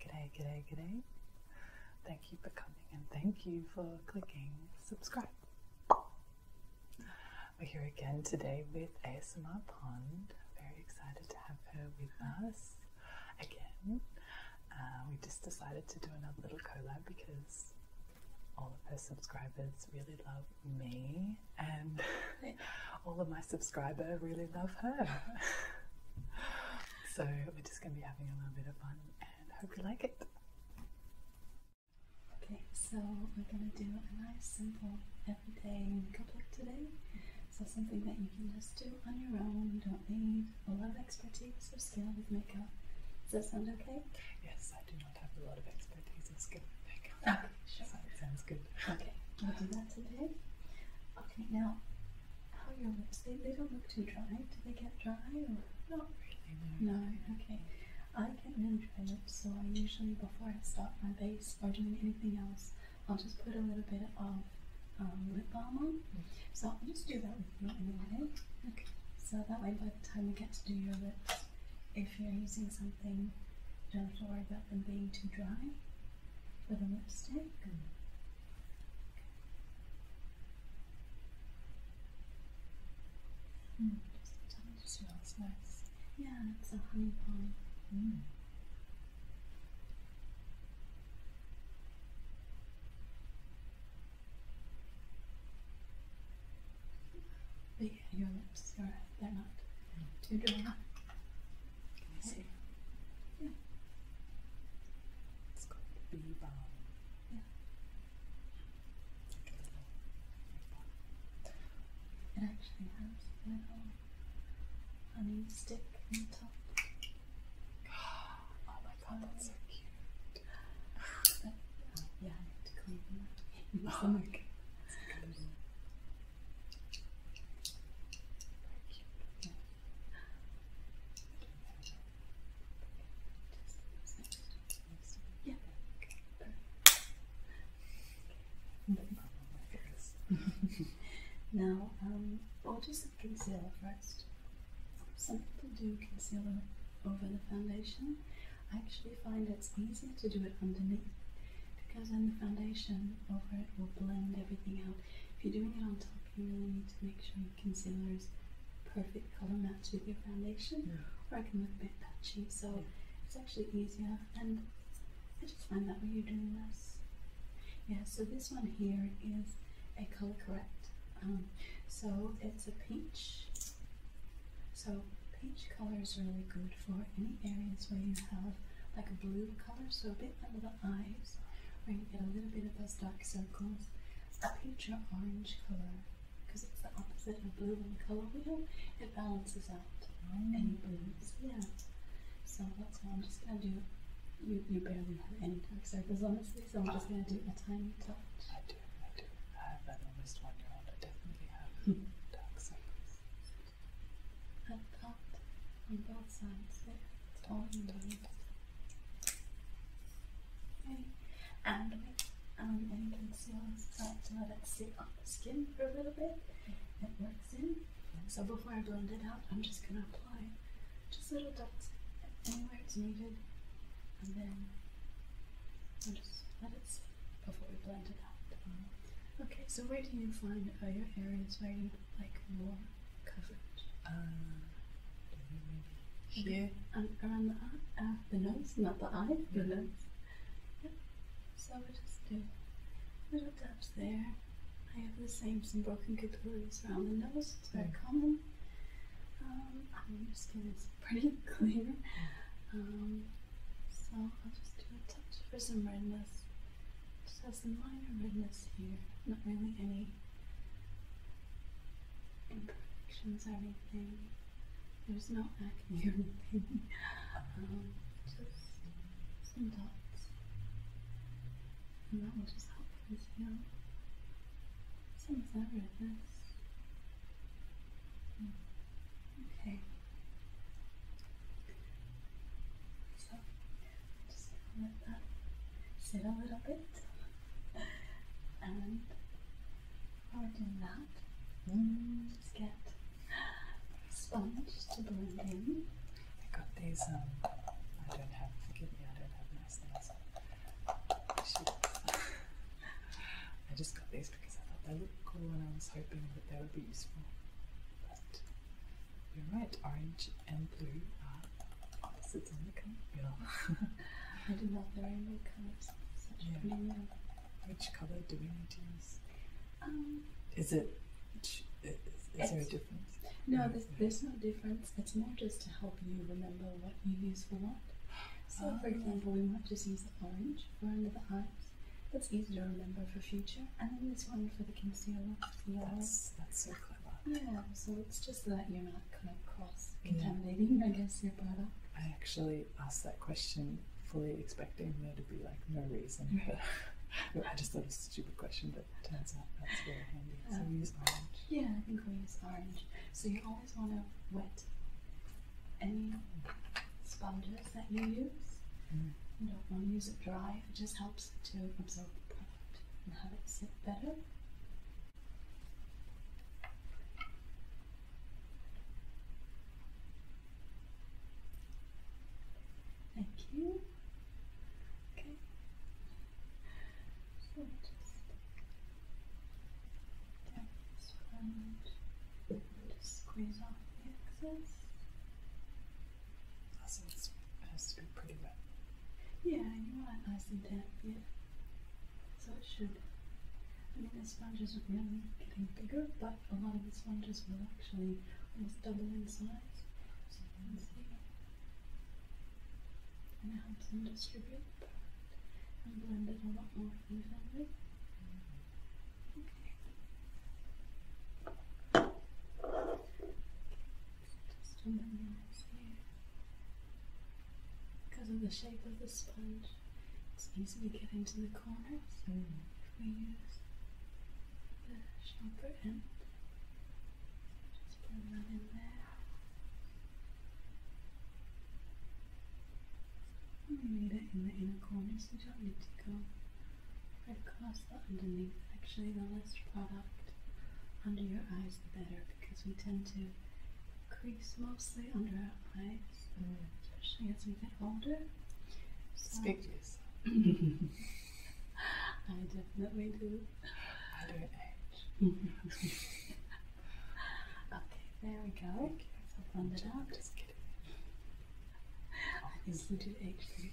G'day, g'day, g'day. Thank you for coming and thank you for clicking subscribe. We're here again today with ASMR Pond. Very excited to have her with us again. Uh, we just decided to do another little collab because all of her subscribers really love me and all of my subscribers really love her. So we're just going to be having a little bit of fun and hope you like it. Okay, so we're going to do a nice simple everyday makeup look today. So something that you can just do on your own. You don't need a lot of expertise or skill with makeup. Does that sound okay? Yes, I do not have a lot of expertise or skill with makeup. Okay, sure. So sounds good. Okay, we'll do that today. Okay, now how oh, your lips? They, they don't look too dry. Do they get dry or? Not really, no. okay. I get really dry so I usually, before I start my base or doing anything else, I'll just put a little bit of um, lip balm on. So i just do that with you anyway. Okay. So that way, by the time you get to do your lips, if you're using something, don't have to worry about them being too dry for the lipstick. Mm. Mm, it smells nice. Yeah, it's a honey pie. But yeah, your lips they're not too dry. Can you see? Yeah. It's called bee balm. Yeah. Like a little it actually has a little honey stick on the top. Oh my god, that's so cute. yeah, I have to clean them up. Oh my god. That's Very cute. Yeah. Okay. now, um, I'll do some concealer first. Some people do concealer over the foundation. I actually find it's easier to do it underneath because then the foundation over it will blend everything out. If you're doing it on top, you really need to make sure your concealer is perfect color match with your foundation or I can look a bit patchy so it's actually easier and I just find that when you're doing this. Yeah, so this one here is a color correct. Um, so it's a peach. So peach color is really good for any areas where you have like a blue color, so a bit under the eyes, where you get a little bit of those dark circles. Up here, your orange color, because it's the opposite of blue in the color wheel. It balances out any mm. blues. Yeah. So that's all. I'm just gonna do. You barely have any dark circles, honestly. So I'm just gonna do a tiny touch. I do. I do. I have that almost one year old. I definitely have hmm. dark circles. Up, up on both sides there. Don't, Okay. um, and you can let it sit on the skin for a little bit. It works in. So before I blend it out, I'm just gonna apply just little dots anywhere it's needed, and then I'll just let it sit before we blend it out. Um, okay, so where do you find uh, your areas where you like more coverage. Um, here around the uh, the nose, not the eye, the mm-hmm. nose. Yep. So we just do little dabs there. I have the same some broken capillaries around the nose. It's very mm. common. Um, I your skin is pretty clear. Um, so I'll just do a touch for some redness. Just have some minor redness here. Not really any imperfections everything. There's no acne or um, just some dots. And that will just help things heal. Same as ever this. Hmm. Okay. So just let that sit a little bit. And while that, mm. just get a sponge to blend in. I got these, um, I don't have, forgive me, I don't have nice nails. I just got these because I thought they looked cool and I was hoping that they would be useful. But you're right, orange and blue are opposites on the color wheel. I do not know any colors. Such yeah. blue. Which color do we need to use? Um, is it? Is, there a difference? No, there's, there's no difference. It's more just to help you remember what you use for what. So, for ah. example, we might just use the orange for under the eyes. That's easy to remember for future. And then this one for the concealer. Yes, that's, that's so clever. Yeah, so it's just that you're not kind of cross contaminating, I guess, your product. I actually asked that question fully expecting there to be like no reason, but I just thought it was a stupid question, but it turns out that's very handy. So we um, use orange. Yeah, I think we use orange. So you always want to wet any sponges that you use. Mm. You don't want to use it dry, it just helps to absorb the and have it sit better. Thank you. Okay. So just tap this front to squeeze off the excess. Also, it has to be pretty wet. Yeah, you want it nice and damp, yeah. So it should. I mean, the sponges are really getting bigger, but a lot of the sponges will actually almost double in size. So you can see. And it helps them distribute and blend it a lot more evenly. Okay. Just under my nose here. Because of the shape of the sponge, it's easy to get into the corners mm. if we use the sharper end. just put that in there. we need it in the inner corners, so you don't need to go right across the underneath. Actually, the less product under your eyes, the better, because we tend to crease mostly under our eyes, mm. especially as we get older. So Speak to yourself. I definitely do. Under age. okay, there we go. So blend it out. Just kidding. I think you do age pretty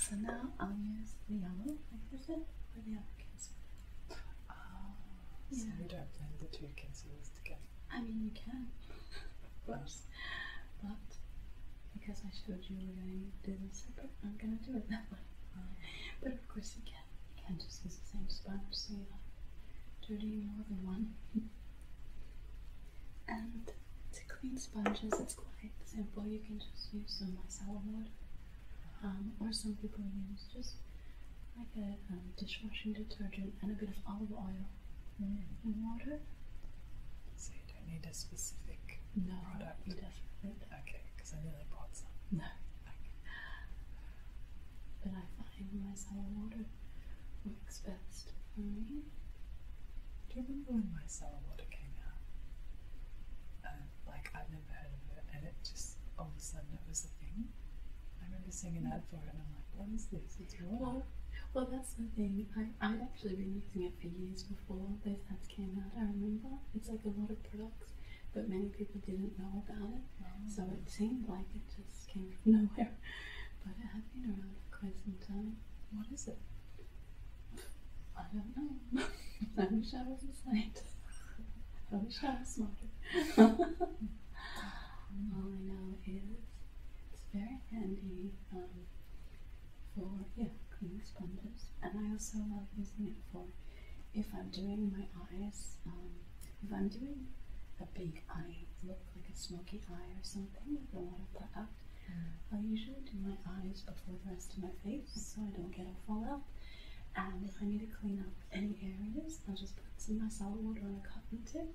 so now I'll use the yellow, like I said, for the other cancel. Oh, so you don't blend the two cancels together? I mean, you can, of course. But because I showed you we're going to do this separate, I'm going to do it that way. Oh. But of course, you can. You can just use the same sponge so you're more than one. and to clean sponges, it's quite simple. You can just use some micellar water, um, or some people use just like a um, dishwashing detergent and a bit of olive oil mm. and water. So you don't need a specific product. definitely Okay, because I nearly bought some. No. But I find micellar water works best for me. Do you remember when micellar water came out? Um, like I've never heard of it, and it just all of a sudden it was a thing. I remember seeing an ad for it, and I'm like, what is this? It's raw. Well, that's the thing. I, I'd actually been using it for years before those ads came out. I remember it's like a lot of products, but many people didn't know about it. Oh. So it seemed like it just came from nowhere. But it had been around for quite some time. What is it? I don't know. I wish I was a saint. I wish I was smarter. All I know is it's very handy um, for yeah cleaning sponges, and I also love using it for if I'm doing my eyes. Um, if I'm doing a big eye look, like a smoky eye or something with a lot that, I usually do my eyes before the rest of my face so I don't get a fallout. And if I need to clean up any areas, I'll just put some of my water on a cotton tip,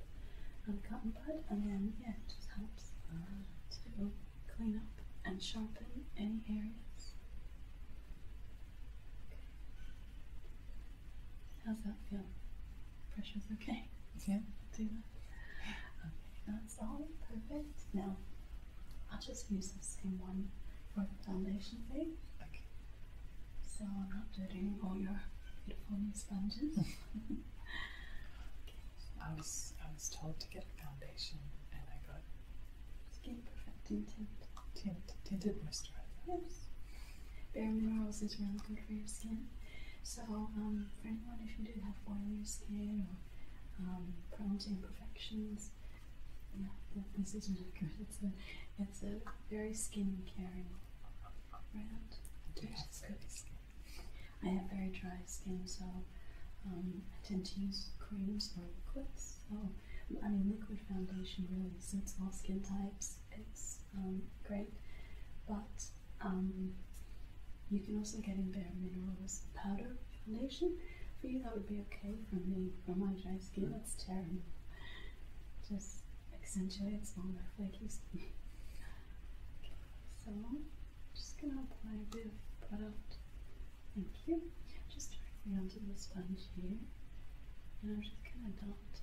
on a cotton bud, and then yeah, it just helps uh, to clean up and sharpen any areas. How's that feel? Pressure's okay? Yeah. Do that? Okay perfect? No. I'll just use the same one for the foundation thing. Okay. So I'm not dirtying all your beautiful new sponges. I was I was told to get a foundation and I got skin perfecting tinted Tint tinted moisturizer. Yes. Bare minerals is really good for your skin. So um, for anyone if you do have oily skin or um, prone to imperfections, no, this isn't good. It's a, it's a very skin caring brand. Yes, I have very dry skin, so um, I tend to use creams or liquids. So, I mean, liquid foundation really suits all skin types. It's um, great, but um, you can also get in bare minerals powder foundation, for you that would be okay for me, for my dry skin, that's terrible. Just accentuates all my flaky skin. okay, so I'm just gonna apply a bit of product, thank you, just directly onto the sponge here. And I'm just gonna dot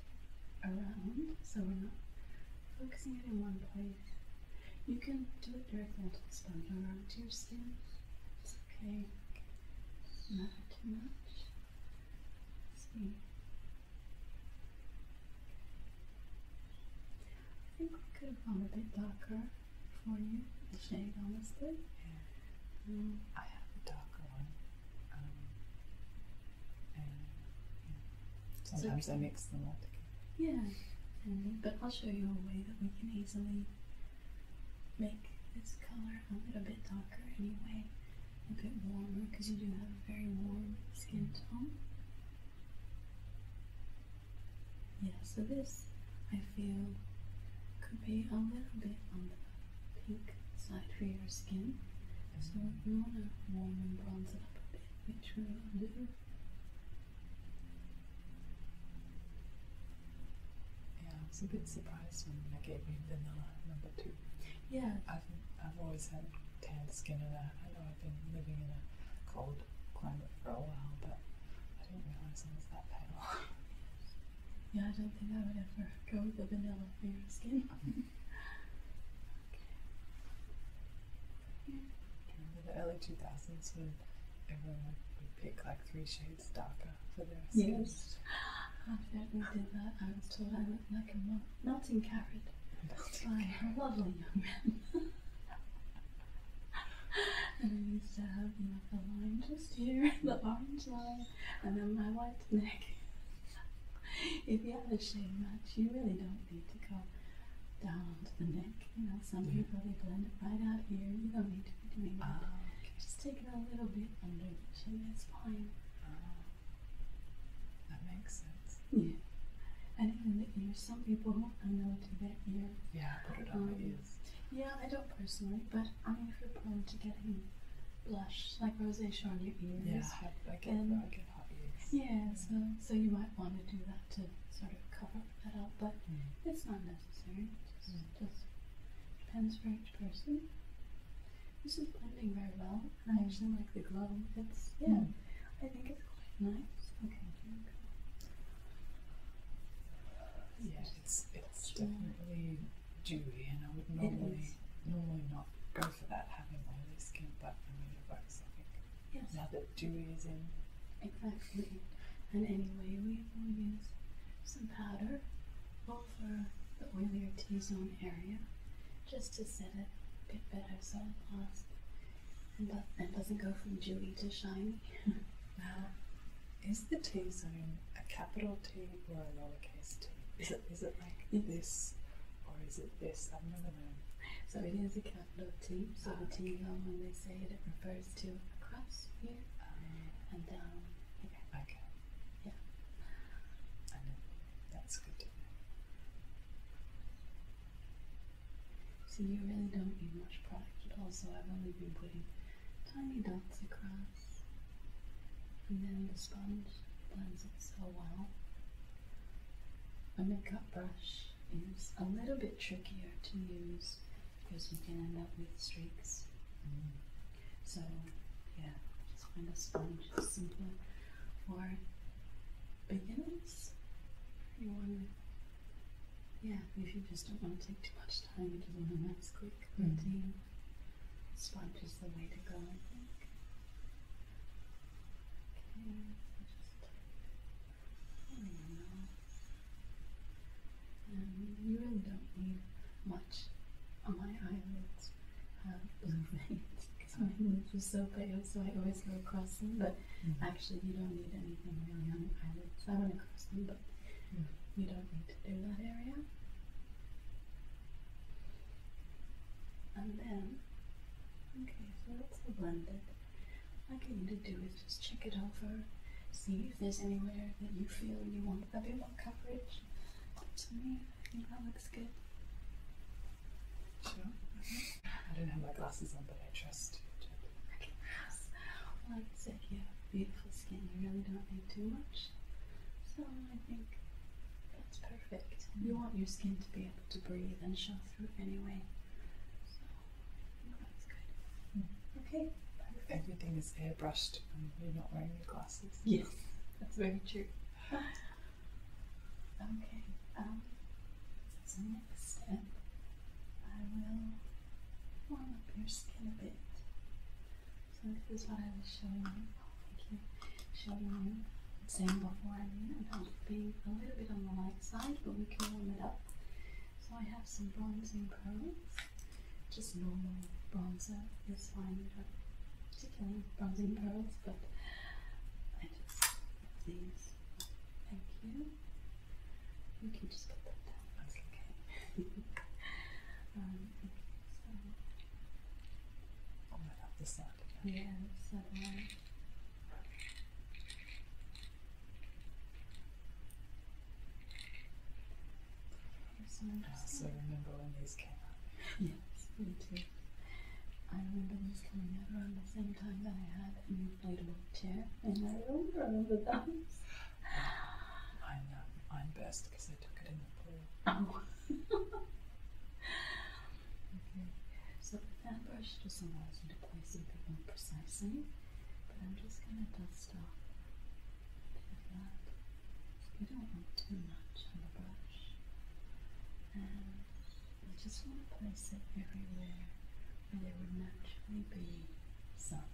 around so we're not focusing it in one place. You can do it directly onto the sponge or onto your skin. Just okay. Not too much. I think we could have gone a bit darker for you, the shade honestly. Yeah. I have a darker one. Sometimes I mix them up. Yeah, but I'll show you a way that we can easily make this color a little bit darker anyway, a bit warmer because you do have a very warm skin tone. Yeah, so this I feel could be a little bit on the pink side for your skin. So you want to warm and bronze it up a bit, which we will do. Yeah, I was a bit surprised when they gave me vanilla number two. Yeah. I've, I've always had tanned skin, and I, know I've been living in a cold climate for a while, but I didn't realize I was that pale. yeah, I don't think I would ever go with a vanilla for your skin. remember the early 2000s when everyone would pick like three shades? Stalker for the rest of Yes. After we did that, I was told I looked like a mel melting carrot by a lovely young man. and I used to have like the line just here, the orange line, and then my white neck. if you have a shade match, you really don't need to go down to the neck. You know, some people they blend it right out here. You don't need to just take it a little bit under the chin, that's fine. Oh, that makes sense. Yeah. And even ears, some people I know do that ear. Yeah, I put it on my um, ears. Yeah, I don't personally, but I mean, if you're prone to getting blush, like rosacea on your ears. Yeah, I, I get, I get hot ears. Yeah, so, so you might want to do that to sort of cover but hmm. it's not necessary. It just, mm depends for each person. This is blending very well, and I actually like the glove. It's yeah, hmm. I think it's quite nice. Okay. Yeah, it's it's definitely dewy, and I would normally normally not go for that having oily skin, but for me it works. I think. Yes. Now that dewy is in. Exactly. And anyway, we will use some powder over the oilier T-zone area just to set it a bit better so it lasts and, doesn't go from dewy to shiny. now, is the T-zone a capital T or a lowercase t? Is it, is it like this or is it this? I've never known. So it is a capital T, so the ah, T-zone, when they say it refers to across here uh, and down here. Okay. Yeah. I know. That's good. See, you really don't need much product Also, I've only been putting tiny dots across. And then the sponge blends it so well. My makeup brush is a little bit trickier to use because we can end up with streaks. So, yeah, just kind of sponge, simple, for beginners. Anyone, yeah, if you just don't want to take too much time, you just want a nice quick routine, hmm. sponge is the way to go, I think. Okay, you really don't need much on my eyelids have blue veins because my lids are so pale, so I always go across them. But mm-hmm. actually, you don't need anything really on your eyelids. I went across them, but mm-hmm. you don't need to do that area. And then, okay, so it's the blended. What I to do is just check it over, see if there's anywhere that you feel you want a bit more coverage. To me, I think that looks good. Sure. Mm-hmm. I don't have my glasses on, but I trust you. Okay. Well, like I said, you have beautiful skin. You really don't need too much. So I think that's perfect. You want your skin to be able to breathe and show through anyway. Okay. Everything is airbrushed you're not wearing your glasses. Yes, that's very true. okay. Um, so next step, I will warm up your skin a bit. So this is what I was showing you. Thank you. Showing you, saying before. I mean, about being a little bit on the light side, but we can warm it up. So I have some bronzing pearls, just normal bronzer is fine, not particularly bronzing pearls, but I just have these. Thank you. You can just get them down, that's okay. Um, oh, I love the sound Yeah, so. Um, I also remember when these came out. yes, me too. I remember these coming out around the same time that I had an inflatable chair in my room for one of the times. I um, mine burst because I took it in the pool. Oh. okay. So that brush just allows me to place a bit more precisely, but I'm just going to dust off so you don't want too much on the brush. And you just want to place it everywhere where there would naturally be sun.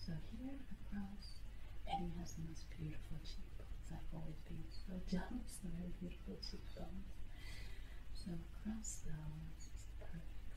So here across, Eddie has the most beautiful cheekbones. I've always been so jealous of her beautiful cheekbones. So across those is perfect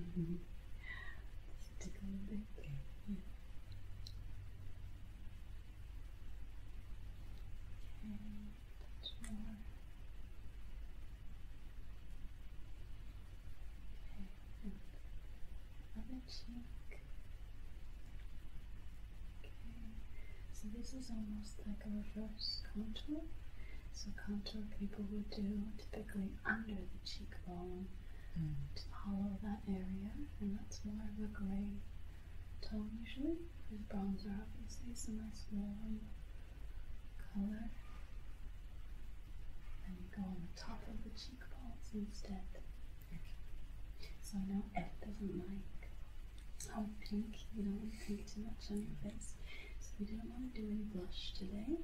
Mm Okay. Okay, Okay, other cheek. Okay, so this is almost like a reverse contour. So contour people would do typically under the cheekbone to hollow that area, and that's more of a gray tone usually. There's bronzer, obviously, it's a nice warm color. And you go on the top of the cheekbones instead. So I know Ed doesn't like how pink, you don't want pink too much on your face. So we didn't want to do any blush today.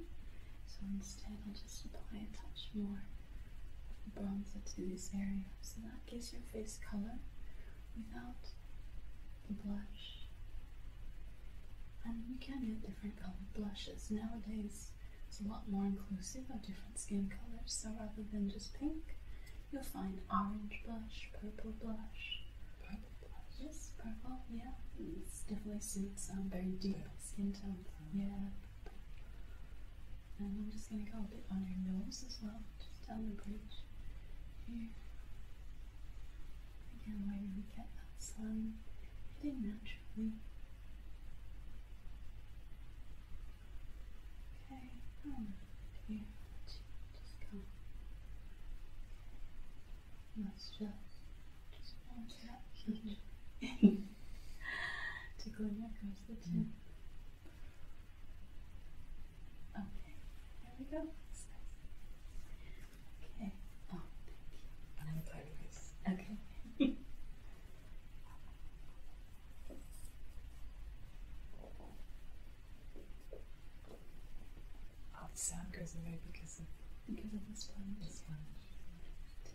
So instead I'll just apply a touch more of the bronzer to this area. So that gives your face color without the blush. And you can get different color blushes. Nowadays it's a lot more inclusive of different skin colors. So rather than just pink, you'll find orange blush, purple blush. Purple blushes, purple, yeah. It's definitely suits um, very deep skin tones. Yeah. And I'm just going to go a bit on your nose as well, just down the bridge here. Again, where you get that sun hitting naturally. Okay, um, here, just go. let just to Tickling across the chin. Mm. Okay, there we go. Okay. Okay. oh, the sound goes away because of because of the sponge. The sponge.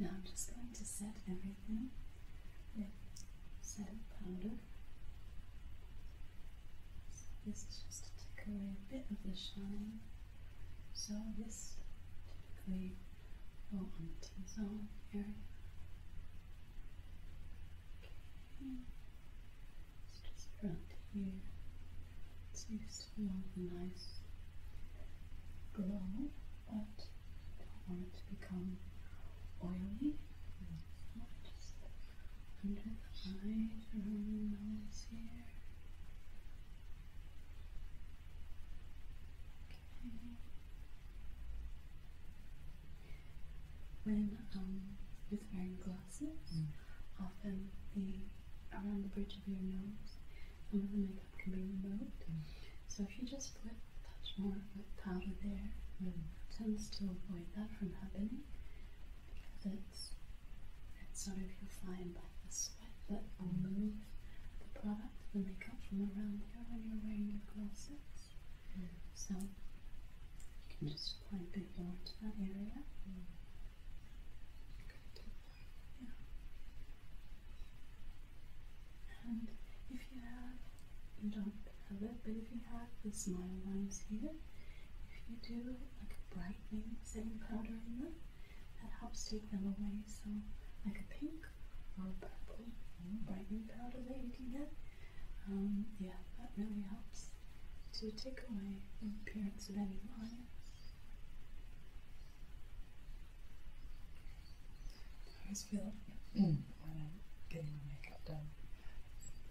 Now I'm just going to set everything with set powder. this is just to take away a bit of the shine. So this typically will on the T-zone area. It's just around here. It seems to want a nice glow, but don't want it to become oily. just under the eyes, around the nose here. Okay when you're um, wearing glasses, mm. often the around the bridge of your nose, some of the makeup can be removed. Mm. So if you just put a touch more of powder there, mm. it tends to avoid that from happening because it's it's sort of your fine, flying the sweat that will move the product, the makeup from around here when you're wearing your glasses. So you can just apply a bit to that area. And if you have, you don't have it, but if you have the smile lines here, if you do like a brightening setting powder in them, that helps take them away. So, like a pink or purple, brightening powder that you can get. yeah, that really helps to take away the appearance of any lines. I always feel when i getting my makeup done,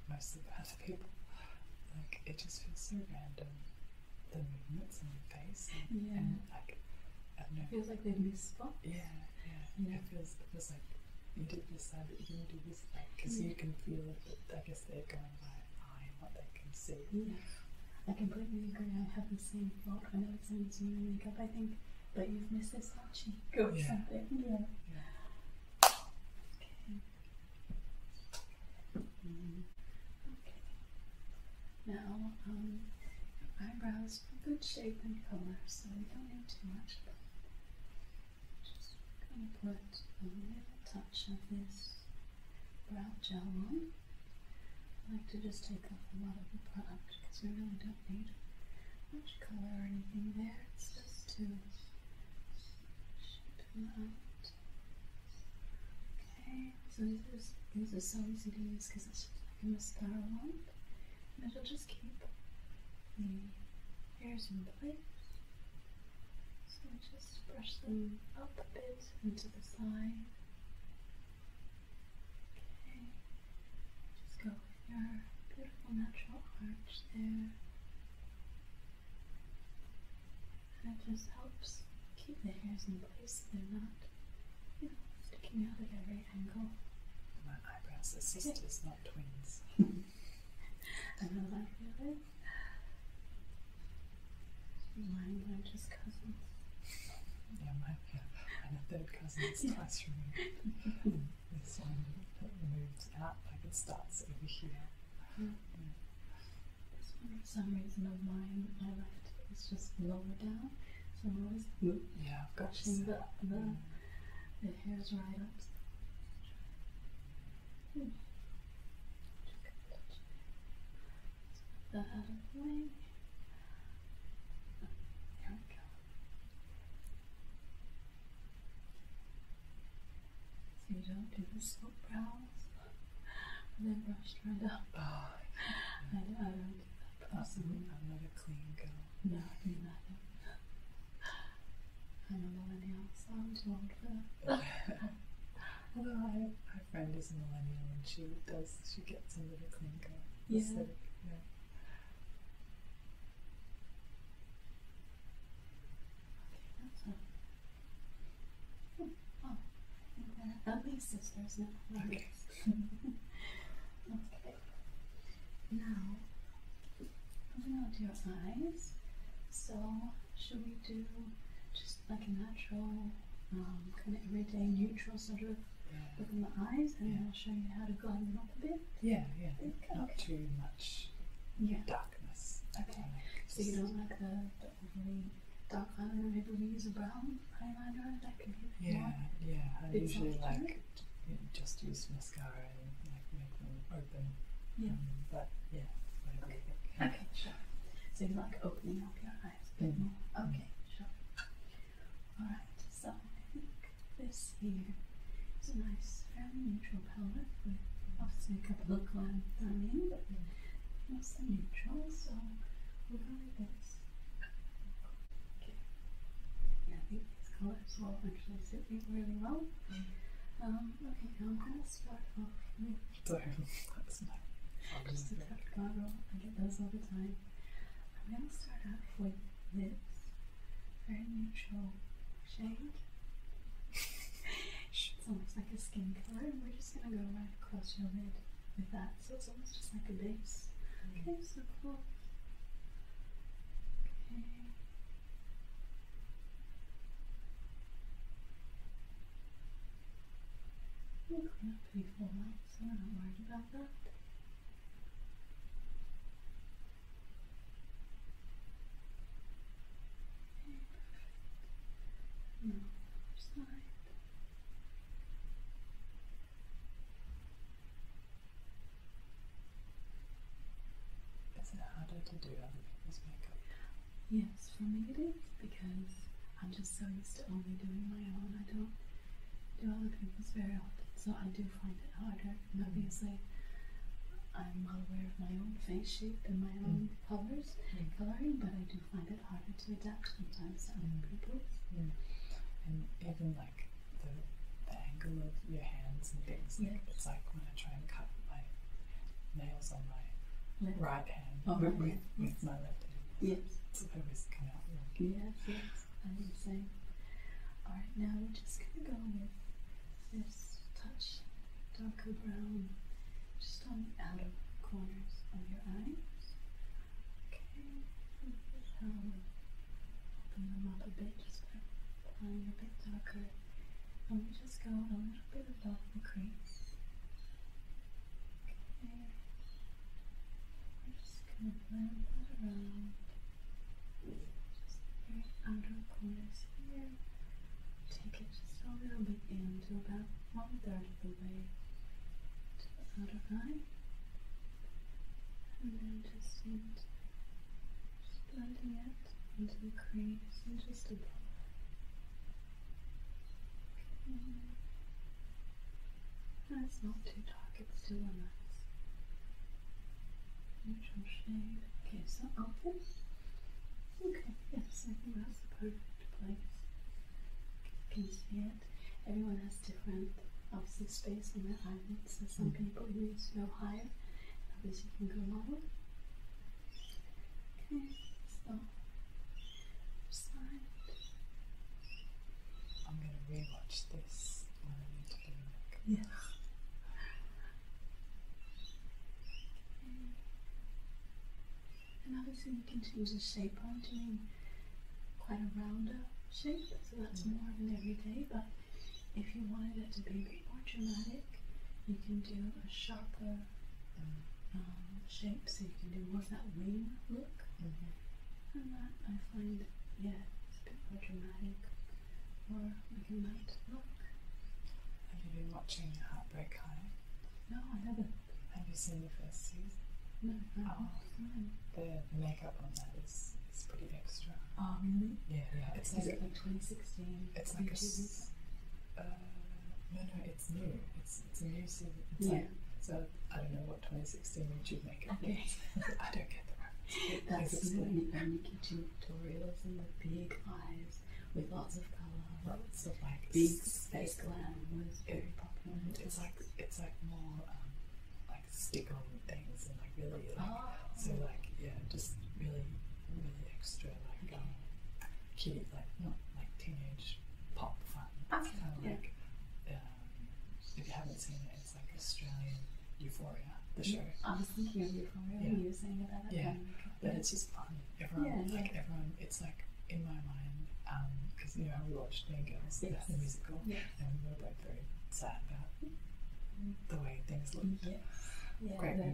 most of the other people, like it just feels so random. The movements in your face, yeah. like It feels like they misspoke. Yeah, yeah, yeah. It feels it feels like you did decide that you're going to do this thing because you can feel that, I guess, they're going by eye and what they can see. Yeah. I completely agree. I have not seen the same thought whenever someone's wearing makeup. I think, but you've missed this hot cheek or yeah. something. Yeah. yeah. Okay. okay. Now, um, eyebrows eyebrows, good shape and color, so we don't need too much. Just going to put a little touch of this brow gel on. I like to just take off a lot of the product because we really don't need much color or anything there. It's just to shape them out. Okay, so these are, so easy to use because it's just like a mascara one. And I will just keep the hairs in place. So I just brush them up a bit into the side. Okay, just go with your beautiful natural arch there. And it just helps keep the hairs in place so they're not, sticking out at every angle. My eyebrows, the sisters not twins. Mine were just cousins. Yeah, mine third cousin's yeah. classroom. and this one moves out, like it starts over here. This one, for some reason of mine, my left is just lower down. So I'm always yeah, I've got pushing the hair's right up. Hmm. That There we go. So you don't do the soap brows and then brush right up. Oh, I, don't Possibly, that I'm not a clean girl. No, me neither. I'm a millennial, so I'm too old for that. Although I, my friend is a millennial and she does, she gets into the clinker. Yeah. Aesthetic, yeah. Okay, hmm. Oh, I think that, sisters now. okay. Now, moving on to your eyes. So, should we do just like a natural, um, kind of everyday neutral sort of look in the eyes, and then I'll show you how to glide them up a bit? Yeah, yeah. Okay. Not too much yeah. darkness. Okay. So, you don't like the, overly dark eyeliner, maybe we use a brown eyeliner, that could be Yeah, yeah. I usually like just use mascara and like make them open. Yeah. Um, but yeah, okay. sure. So you like opening up your eyes a bit mm-hmm. more. Okay, sure. Alright, so I think this here is a nice, fairly neutral palette with obviously a couple of glam thrown in, but mostly neutral, so we'll go with this. Okay. Yeah, I think these colors will actually sit me really well. Um, okay, I'm going to start off with. Sorry, that's not. Just a touch bottle. I get those all the time. I'm going to start off with this very neutral shade. it's almost like a skin color, and we're just going to go right across your lid with that. So it's almost just like a base. Okay, so cool. We'll clean up full so we're not worried about that. perfect. And now the is it harder to do other people's makeup? Yes, for me it is because I'm just so used to only doing my own. I don't do other people's very often, so I do find it harder. Mm. obviously, I'm well aware of my own face shape and my own mm. colors and mm. coloring, but I do find it harder to adapt sometimes to other people's. And even like the, angle of your hands and things. It's like when I try and cut my nails on my right hand oh, with, my left hand. Yes. So always come out wrong. Yes, I'm the Alright, now we're just going to go with this touch darker brown just on the outer corners of your eyes. Okay, this um, open them up a bit just by and a bit darker. I'm just go a little bit above the crease. I'm just going to blend that around. Just the outer corners here. Take it just a little bit in to about one third of the way to the outer eye and then just into, just blending it into the crease and just above it. Okay. No, it's not too dark, it's still a nice neutral shade. Okay, so open. Okay, yes, I think that's the perfect place. You can see it. Everyone has different obviously space on their eyelids. So some people use no higher, others can go lower. Okay, so side. I'm gonna rewatch this when I need to bring it. Yeah. Okay. And obviously you can choose a shape. i quite a rounder shape so that's more of an everyday. But if you wanted it to be more dramatic, you can do a sharper um, shape, so you can do more of that wing look. Mm-hmm. And that I find, yeah, it's a bit more dramatic, look. Have you been watching Heartbreak High? No, I haven't. Have you seen the first season? No, I Oh, the makeup on that is, is pretty extra. Oh, really? Yeah, yeah. It's like, like 2016. It's like a. Uh, no, no, it's new. It's, it's a new season. yeah. so I don't know what 2016 YouTube makeup okay. is. I don't get the reference. That's new. And Nikki tutorials and the big eyes with lots of colour. Lots of like big space glam was very popular. It's like it's like more um, stick on things and like really like oh. so like yeah, just really really extra like um, kitty like not like teenage pop fun. It's kind of like um, if you haven't seen it, it's like Australian Euphoria, the mm-hmm. show. I was thinking of Euphoria yeah. when you were saying about it. Yeah, but it's just fun. Everyone like everyone. It's like in my mind because um, you know we watched Mean Girls, the musical, yeah and we were like very sad about the way things looked. Yes. Yeah,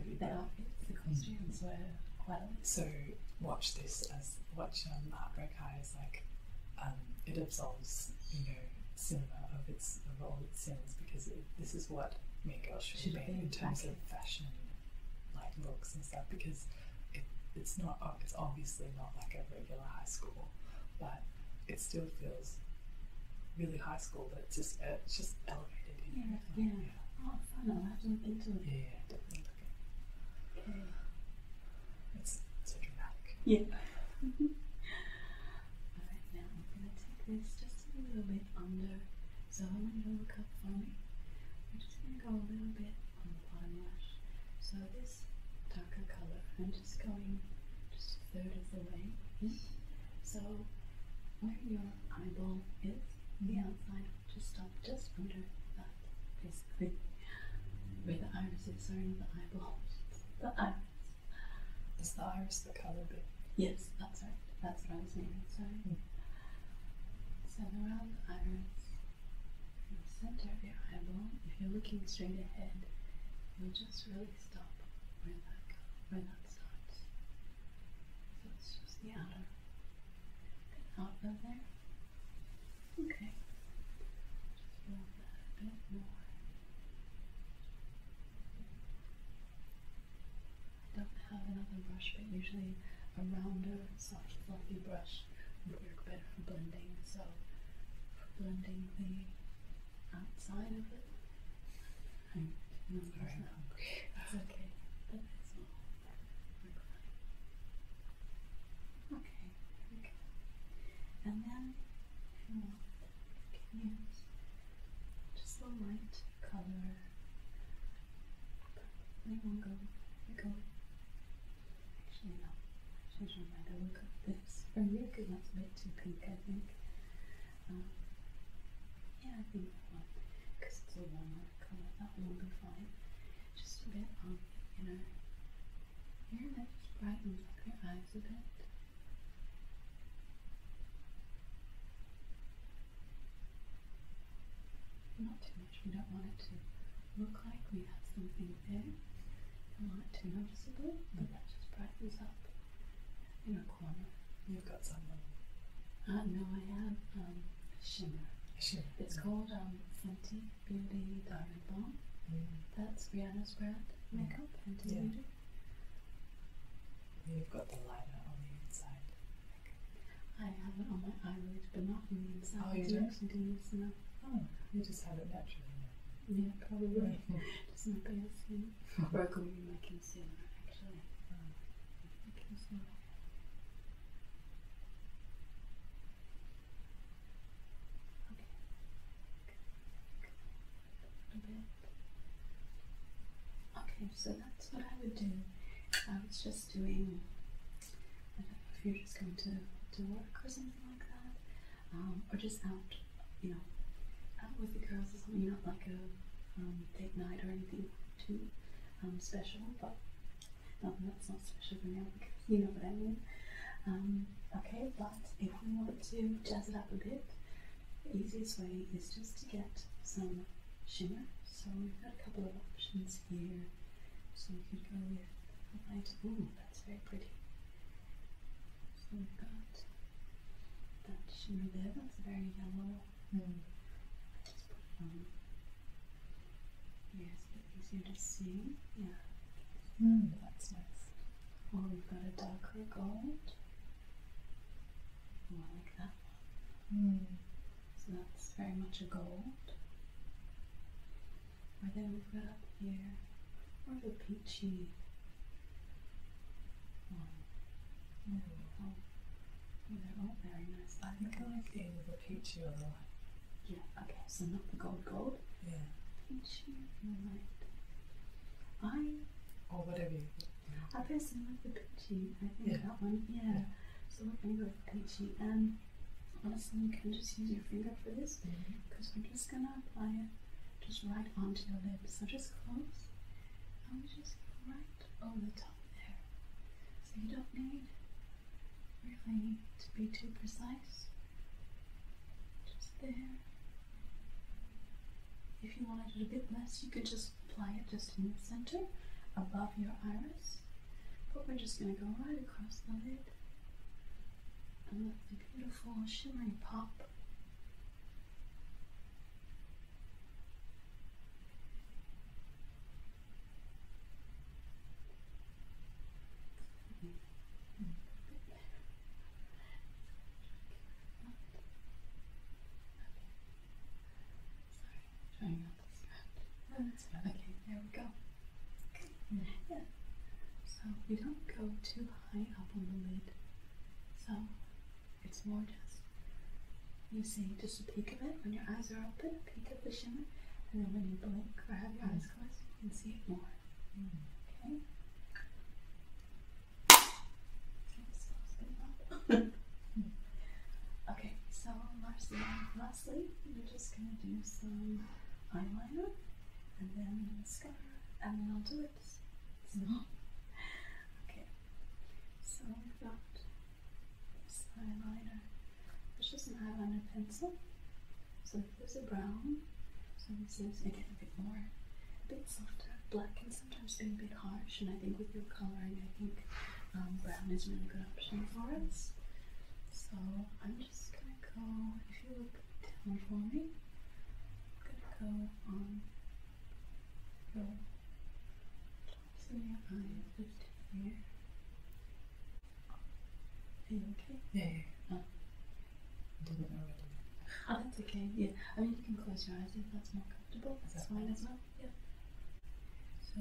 the, costumes were quite. So watch this as watch um, Heartbreak High is like um, it absolves you know cinema of its of all its sins because this is what Mean Girls should, be in terms of fashion, like looks and stuff because it's not it's obviously not like a regular high school but it still feels really high school, but it's just uh, it's just elevated. Yeah, yeah. Oh, fun! I'll have to it. Yeah, definitely look at It's dramatic. Yeah. All right, now I'm gonna take this just a little bit under. So I want you for me. We're just gonna go a little bit on the bottom lash. So this darker color, just going just a third of the way. Hmm? So where your eyeball is, the hmm. outside just stop just under that, basically. Where the iris is, in the eyeball. The iris. Is the iris the color bit? Yes, that's right. That's what I was naming, sorry. Mm around the iris, in the center of your eyeball, if you're looking straight ahead, you'll just really stop where that goes, where that starts. So it's just the outer out of there. Okay. Just a bit more. don't have another brush, but usually a rounder, soft, fluffy brush would work better for blending. So for blending the outside of it. okay. Okay, And then, you can use just a light color. we'll go, we go. Actually, no. Change my mind. I look up the for me, because that's a bit too pink, I think. Um, yeah, I think that one, because it's a warmer color, that one would be fine. Just a bit on um, you know. Here, that just brightens up your eyes a bit. Not too much, we don't want it to look like we have something there. Don't want it too noticeable, but that just brightens up, you know, you've got someone. Uh, no, I have um, a shimmer. shimmer. It's called um, Fenty Beauty Diamond Balm. Mm. That's Rihanna's brand mm. makeup, and Beauty. You've got the liner on the inside. I have it on my eyelid, but not on the inside. Oh, you don't? actually didn't Oh, you just have it naturally. Yeah, probably. just my bare skin. I broke away my concealer actually. My concealer. Okay. Okay, so that's what I would do. I was just doing. I don't know if you're just going to to work or something like that, um, or just out you know, out with the girls or something not like a um, date night or anything too um, special, but no, um, that's not special for now you know what I mean. okay, but if we want to jazz it up a bit, the easiest way is just to get some shimmer. So we've got a couple of options here. So you could go with a light, ooh, that's very pretty. So we've got that shimmer there, that's very yellow. Mm. Just put Yes, it's easier to see. Yeah. Hmm, that's nice. Or we've got a darker gold. More like that hmm. So that's very much a gold. Or then we've got here more of a peachy um, yeah, oh, they're all very nice. I think I like the with a peachy other one. Yeah, okay, so not the gold gold. Yeah. Peachy, I. Or whatever I personally like the peachy, I think that one, yeah. So we're going to go with peachy. And um, honestly, you can just use your finger for this because mm -hmm. we're just going to apply it just right onto your lips. So just close and just right over the top there. So you don't need really to be too precise. Just there. If you wanted it a bit less, you could just apply it just in the center above your iris. But we're just going to go right across the lid and let the beautiful shimmery pop okay. There we go. So we don't go too high up on the lid. So it's more just you see just a peek of it when your eyes are open, peek of the shimmer, and then when you blink or have your eyes closed, you can see it more. Okay. okay, so lastly, lastly, we're just gonna do some eyeliner and then mascara, and then I'll do it it's not okay. So we've got this eyeliner. It's just an eyeliner pencil. So there's a brown. So this is again a bit more, a bit softer. Black can sometimes be a bit harsh, and I think with your coloring, I think um, brown is a really good option for us. So I'm just gonna go. If you look down for me, I'm gonna go on your tops your eyes just here. okay? Yeah, didn't already. Oh, that's okay. Yeah. I mean, you can close your eyes if that's more comfortable. That's, fine as well. Yeah. So,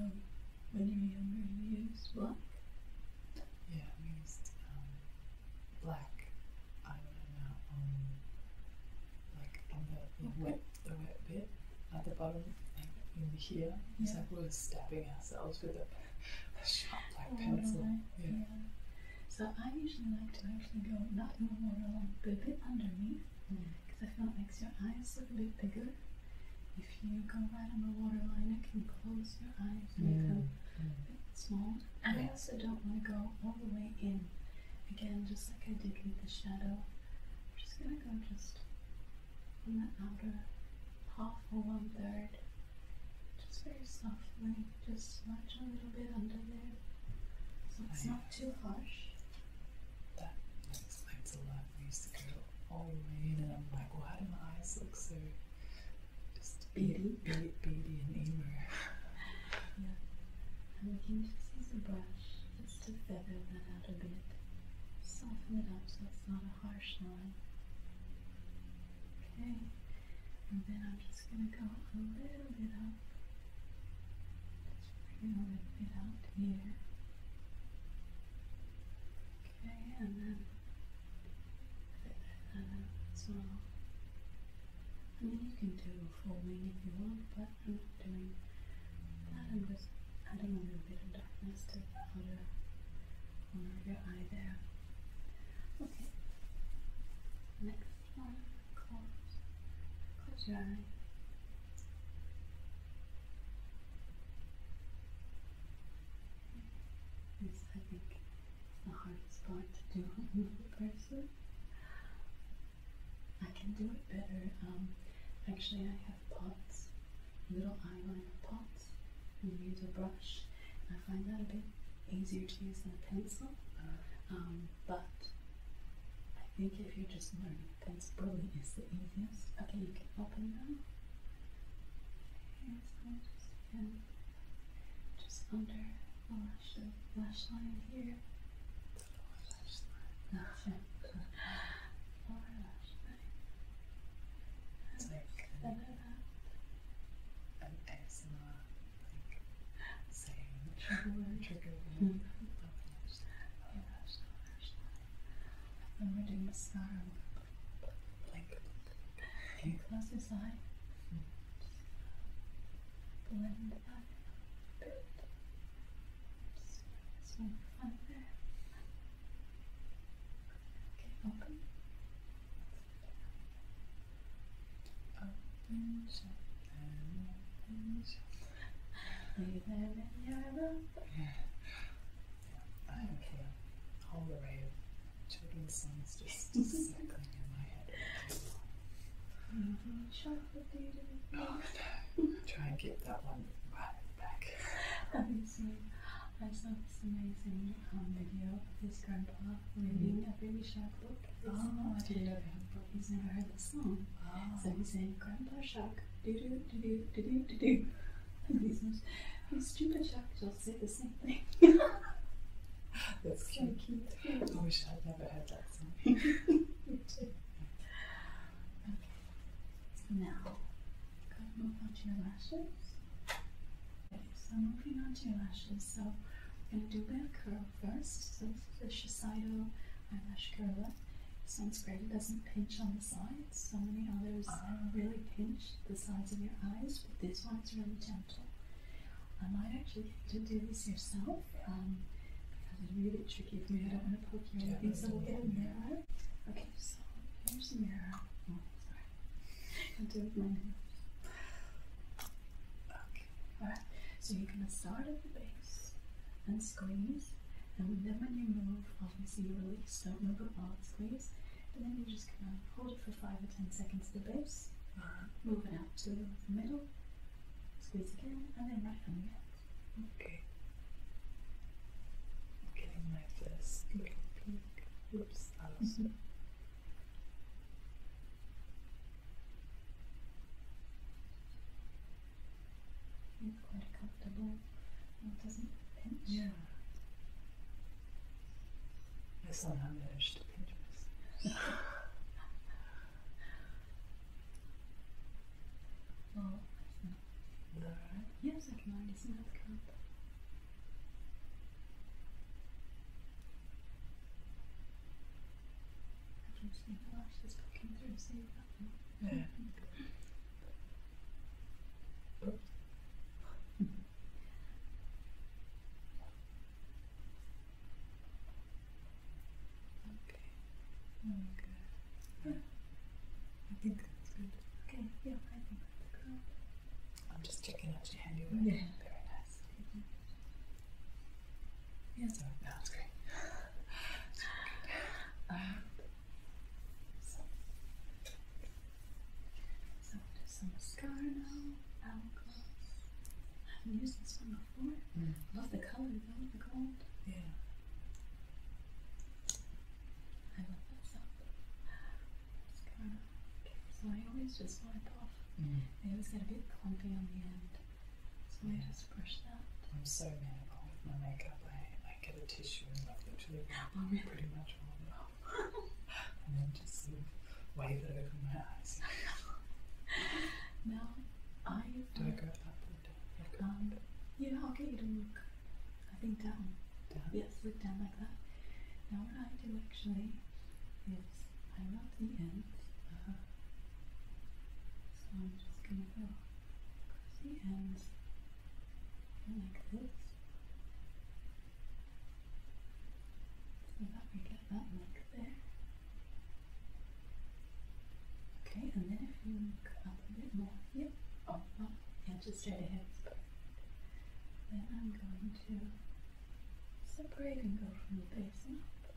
when you were younger, you used black? Yeah, I used um, black eyeliner like on the, wet the wet bit at the bottom, like in here. Yeah. we're stabbing ourselves with a, sharp black oh, pencil. Yeah. So I usually like to actually go not in the water but a bit underneath, because hmm. I feel it makes your eyes look a bit bigger. If you go right on the water line, it can close your eyes, and mm. make hmm. them a hmm. bit small. And I also don't want to go all the way in again, just like I did with the shadow, I'm just going to go just on the outer half or one third, just very softly, just smudge a little bit under there so it's not too harsh. That explains a lot. I to go all in, and I'm like, why do my eyes look so just beady, beady, beady and emer? and you can just use a brush just to feather that out a bit. Soften it up so it's not a harsh line. Okay, and then I'm just going to go a little bit up. Just bring a little bit out here. Okay, and then feather that out as well. I you can do full wing if you want, but I'm not doing that. I'm just adding a little bit of darkness to the outer corner of your eye there. Okay. Next one, close. Close your eye. This I think is the hardest part to do on another person. I can do it better. Um, actually, I have pots, little eyeliner pots, and use a brush. I find that a bit easier to use than a pencil. Um, but I think if you're just learning, pencil is the easiest. Okay, you can open them. Okay, so just, um, just under. I'll lash the lash line here. Lower lash line. Lower lash line. It's an, an ASMR like saying lash line. lash line. Lash line. And we doing mascara. Blink. close this eye? Blend the just one front there. Okay, open. Open, shut down, open, shut Leave them in your room. I don't care. All the way of children's songs just circling in my head. Shut Oh, no. Try and get that one right back. Have you seen? I saw this amazing um, video of his grandpa reading a baby shark book. Oh, I didn't know that. He's never heard the song. Oh. So he's saying, Grandpa Shark, doo doo doo doo doo doo doo." do. And these most stupid sharks all say the same thing. That's so cute. cute. I wish I'd never heard that. okay. Now, go on to your lashes. so I'm moving on to your lashes. So i gonna do back curl first. So this is the Shiseido eyelash curler. This one's great. It doesn't pinch on the sides. So many others ah. really pinch the sides of your eyes, but this one's really gentle. I might actually get to do this yourself um, because it's really tricky for me. I don't want to poke you or anything, so we'll get a mirror. Okay, so here's the mirror. Oh, I'll do it with Okay, alright. So you're going to start at the base and squeeze, and then when you move, obviously you release. Don't move at all, squeeze. And then you're just going to hold it for 5 or 10 seconds at the base, moving out to the middle, Squeeze again, and then right write them Okay. getting my first little peek. Oops, I lost mm quite comfortable. doesn't pinch. Yeah. I somehow managed to pinch Oh, it's not Yes, I can already smell the cup. I can see the lashes poking through, Yeah. Okay. Mm. Good. Yeah. I think that's good. Okay. Yeah, I think that's good. I'm just checking out your handiwork. Very nice. Mm -hmm. Yeah, so that's great. so, so some mascara now, hourglass. I haven't used this one for Love the color, though, the gold. Yeah. I love that stuff. so I always just wipe off. Mm. always get a bit clumpy on the end. So I mm. just brush that. I'm so manical with my makeup. I, I get a tissue and literally oh, pretty much all it off. and then just wave it over my eyes. now, I did um, yeah, I'll get you to look. I think down. Down. Yes, look down like that. Now what I do actually is I rub the ends. So I'm just gonna go across the ends like this. So that we get that look there. Okay, and then if you come up a bit more, yep, oh, well, yeah, just straight ahead is perfect. Then I'm going to separate and go from the basin up.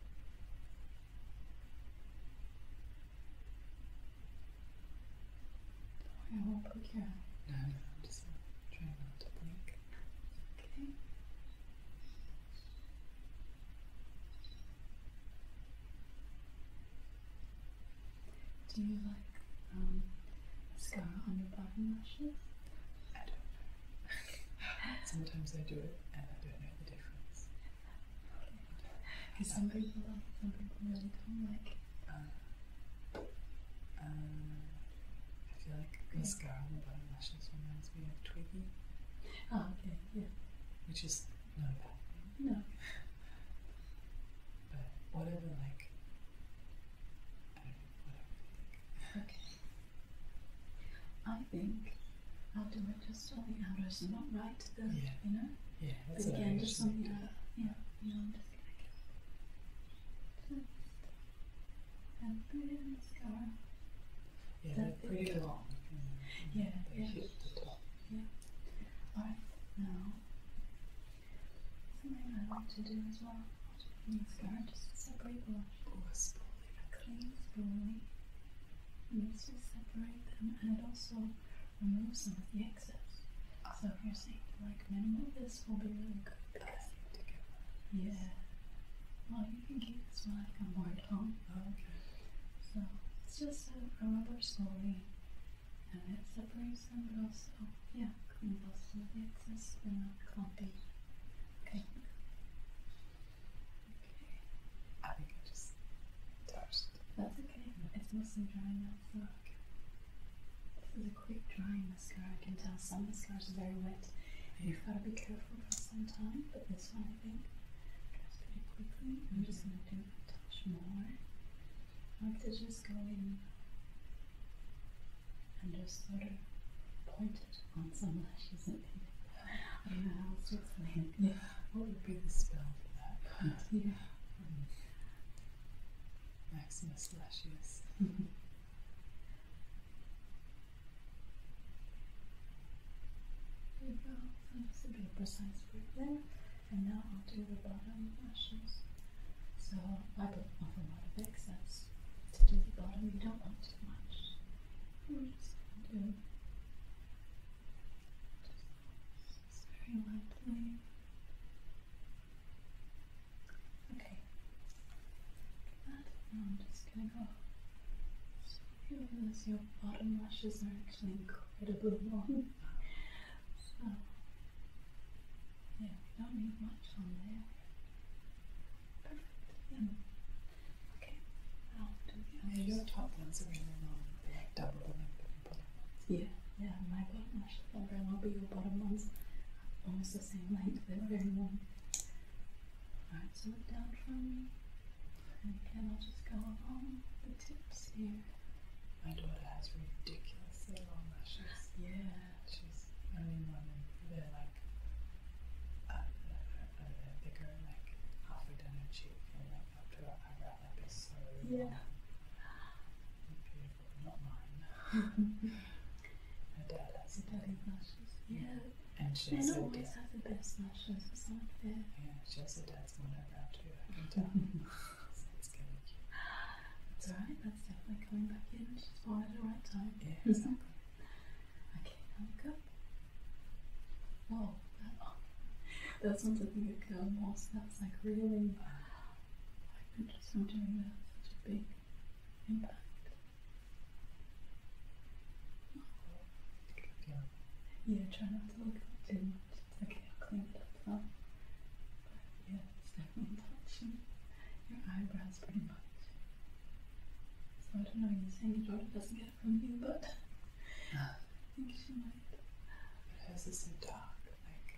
I won't No, no, I'm just trying not to blink. Okay. Do you like um, mascara on your bottom lashes? I don't Sometimes I do it and I don't know the difference. Because some people like it, some people really don't like Um, I feel like mascara on the bottom lashes reminds me of Twiggy. Oh, okay. Yeah. Which is not a bad thing. No. but whatever, like, I think. Okay. I think I'll do it just on the outer, and not right to the, yeah. Yeah, But again, just something the, yeah, you know, I'm just gonna get it yeah, pretty long. Yeah, they yeah. hit the top. Yeah. All right, now something I like to do as well. Let's go just separate them. Oh, a spoolie. A clean spoolie. And this separate them and also remove some of the excess. So you're saying like minimal, this will be really good. yeah thinking it's like a mortal. Okay. So it's just a, a rubber slowly and it separates them but also yeah, cleans also the excess and not clumpy. Okay. Okay. I think I just touched. That's okay. It's mostly drying out so okay. This is a quick drying mascara. I can tell some mascaras are very wet. Yeah. You've got to be careful for some time, but this one I'm just going to do a touch more. I want to just go in and just sort of point it on some lashes and think, I do explain it. Yeah. What would be the spell for that? yeah. Um, Maximus lashes. There you go. So just a bit of precise grip there. And now I'll do the bottom lashes. So I put off a lot of excess to do the bottom. You don't want too much. We're just going to do just very lightly. Okay. That. Now I'm just going to go your bottom lashes are actually incredibly long. So, yeah, we don't need much on there. Perfect. Yeah. Okay, i your top ones are really long, double the Yeah, yeah, my bottom lashes are very long, but your bottom ones almost the same length, they're very long. Alright, so look down from me. And again, I'll just go along the tips here. My daughter has ridiculously long lashes. Yeah. She's only one and they're like up uh, they go like halfway down her cheek and like up to her eyebrow like they so yeah. Beautiful, not mine. her dad has Yeah. And she also always does. have the best lashes. It's not fair. Yeah, she also does one eyebrow too. I can tell. so it's kind cute. It's alright. That's definitely coming back in. She's born at the right time. Yeah, exactly. okay, now we go. Whoa, that, oh, like one something that Also, That's like really. I've been just from that. Such a big impact. Yeah. yeah, try not to look at too much. okay, I'll clean it up now. But yeah, it's definitely touching your eyebrows pretty much. So I don't know, you're saying your daughter doesn't get it from you, but I think she might. But hers is so dark, like,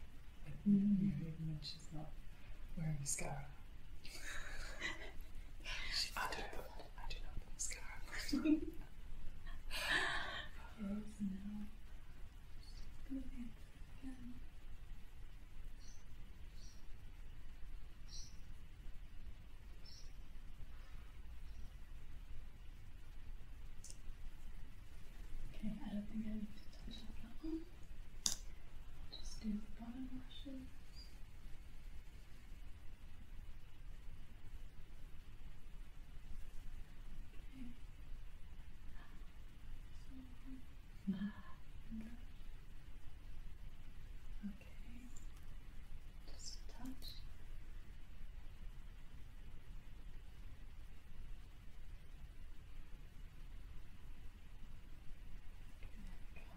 mm. even when she's not wearing mascara. she's I I do not have mascara. Close now. Just go Okay, I don't think I need to touch that one. just do the bottom lashes. Okay. Just Okay,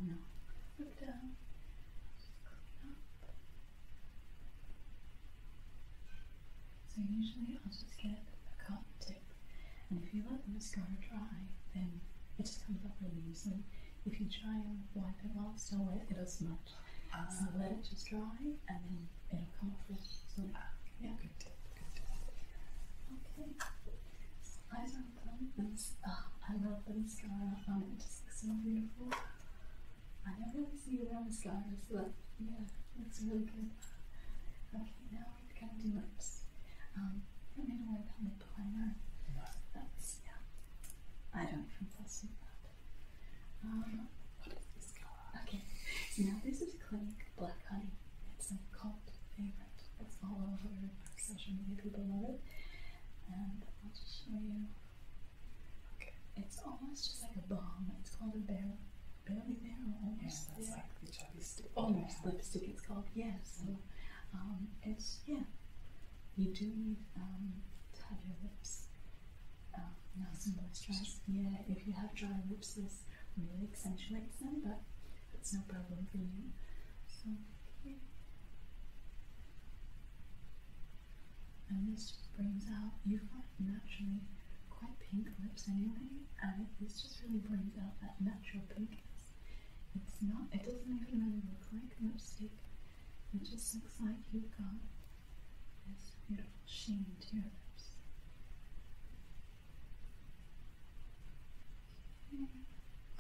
there we go down. So usually I'll just get a cotton tip and if you let the mascara dry then it just comes up really easily. If you try and wipe it off, it's still wet it'll smudge. Uh, so let it just dry and then it'll come off really easily. Uh, yeah. Good tip, good tip. Okay. So eyes are closed. Uh, I love the mascara on It just looks so beautiful. I don't really see around the scars, but yeah, looks really good. Okay, now we're gonna do lips. I'm gonna wipe primer. No. That's yeah. I don't confess in um, what is this color? Okay, now this is Clinique Black Honey. It's a cult favorite. It's all over social media. People love it. And I'll just show you. It's almost just like a bomb. It's called a barrel, barely barrel, almost. Yeah, that's like the chapstick. Almost yeah. lipstick. It's called yeah. So, um, it's yeah. You do need um, to have your lips um, uh, nice and moisturized. Yeah, if you have dry lips, this really accentuates them, but it's no problem for you. So and this brings out, you've got naturally quite pink lips anyway, and this just really brings out that natural pinkness. It's not, it doesn't even look like lipstick, it just looks like you've got this beautiful sheen to your lips.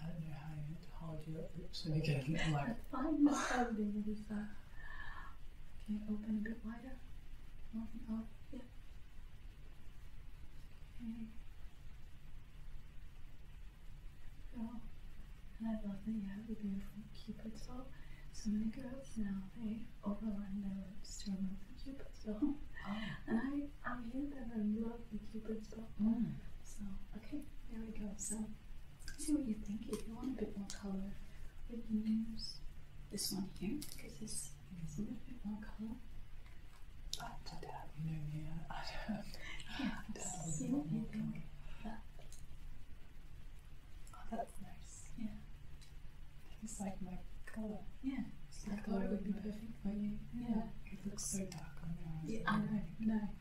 I don't know how you hide your lips when you get I find this really fast. Okay, open a bit wider? Open up. yeah. Okay. Go. And I love that you have the beautiful cupid soul. So many girls now they overline their lips to remove the cupid's soul. Oh. And I, I am here that I love the cupid's soul. Mm. So okay, there we go. So see what you think. If you want a bit more color, we can use this one here because this is a little bit more color. I don't have you know I don't. Yeah, I don't see what you think. That. Oh, that's nice. Yeah. It's like my color. Yeah. It's like color would be perfect for you. Yeah. It looks so dark on your eyes. Yeah, I know. No.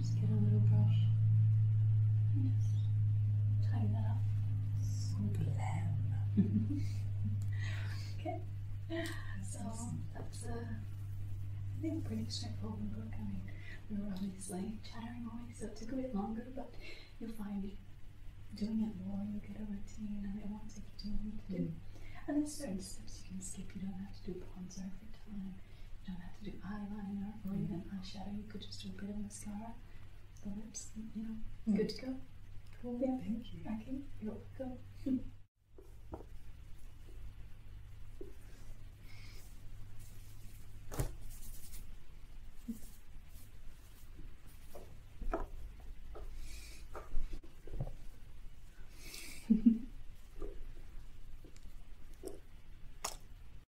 just get a little brush and just tighten that up. So glam. okay. So that's a, uh, I think, pretty straightforward book. I mean, we were obviously chattering away, so it took a bit longer, but you'll find doing it more, you'll get a routine, and it won't take you too long to do. Mm. And there's certain steps you can skip. You don't have to do bronzer every time. You don't have to do eyeliner or even mm. eyeshadow. You could just do a bit of mascara, the you know, mm. good to go. Cool. Yeah. Thank you. Okay, you're welcome.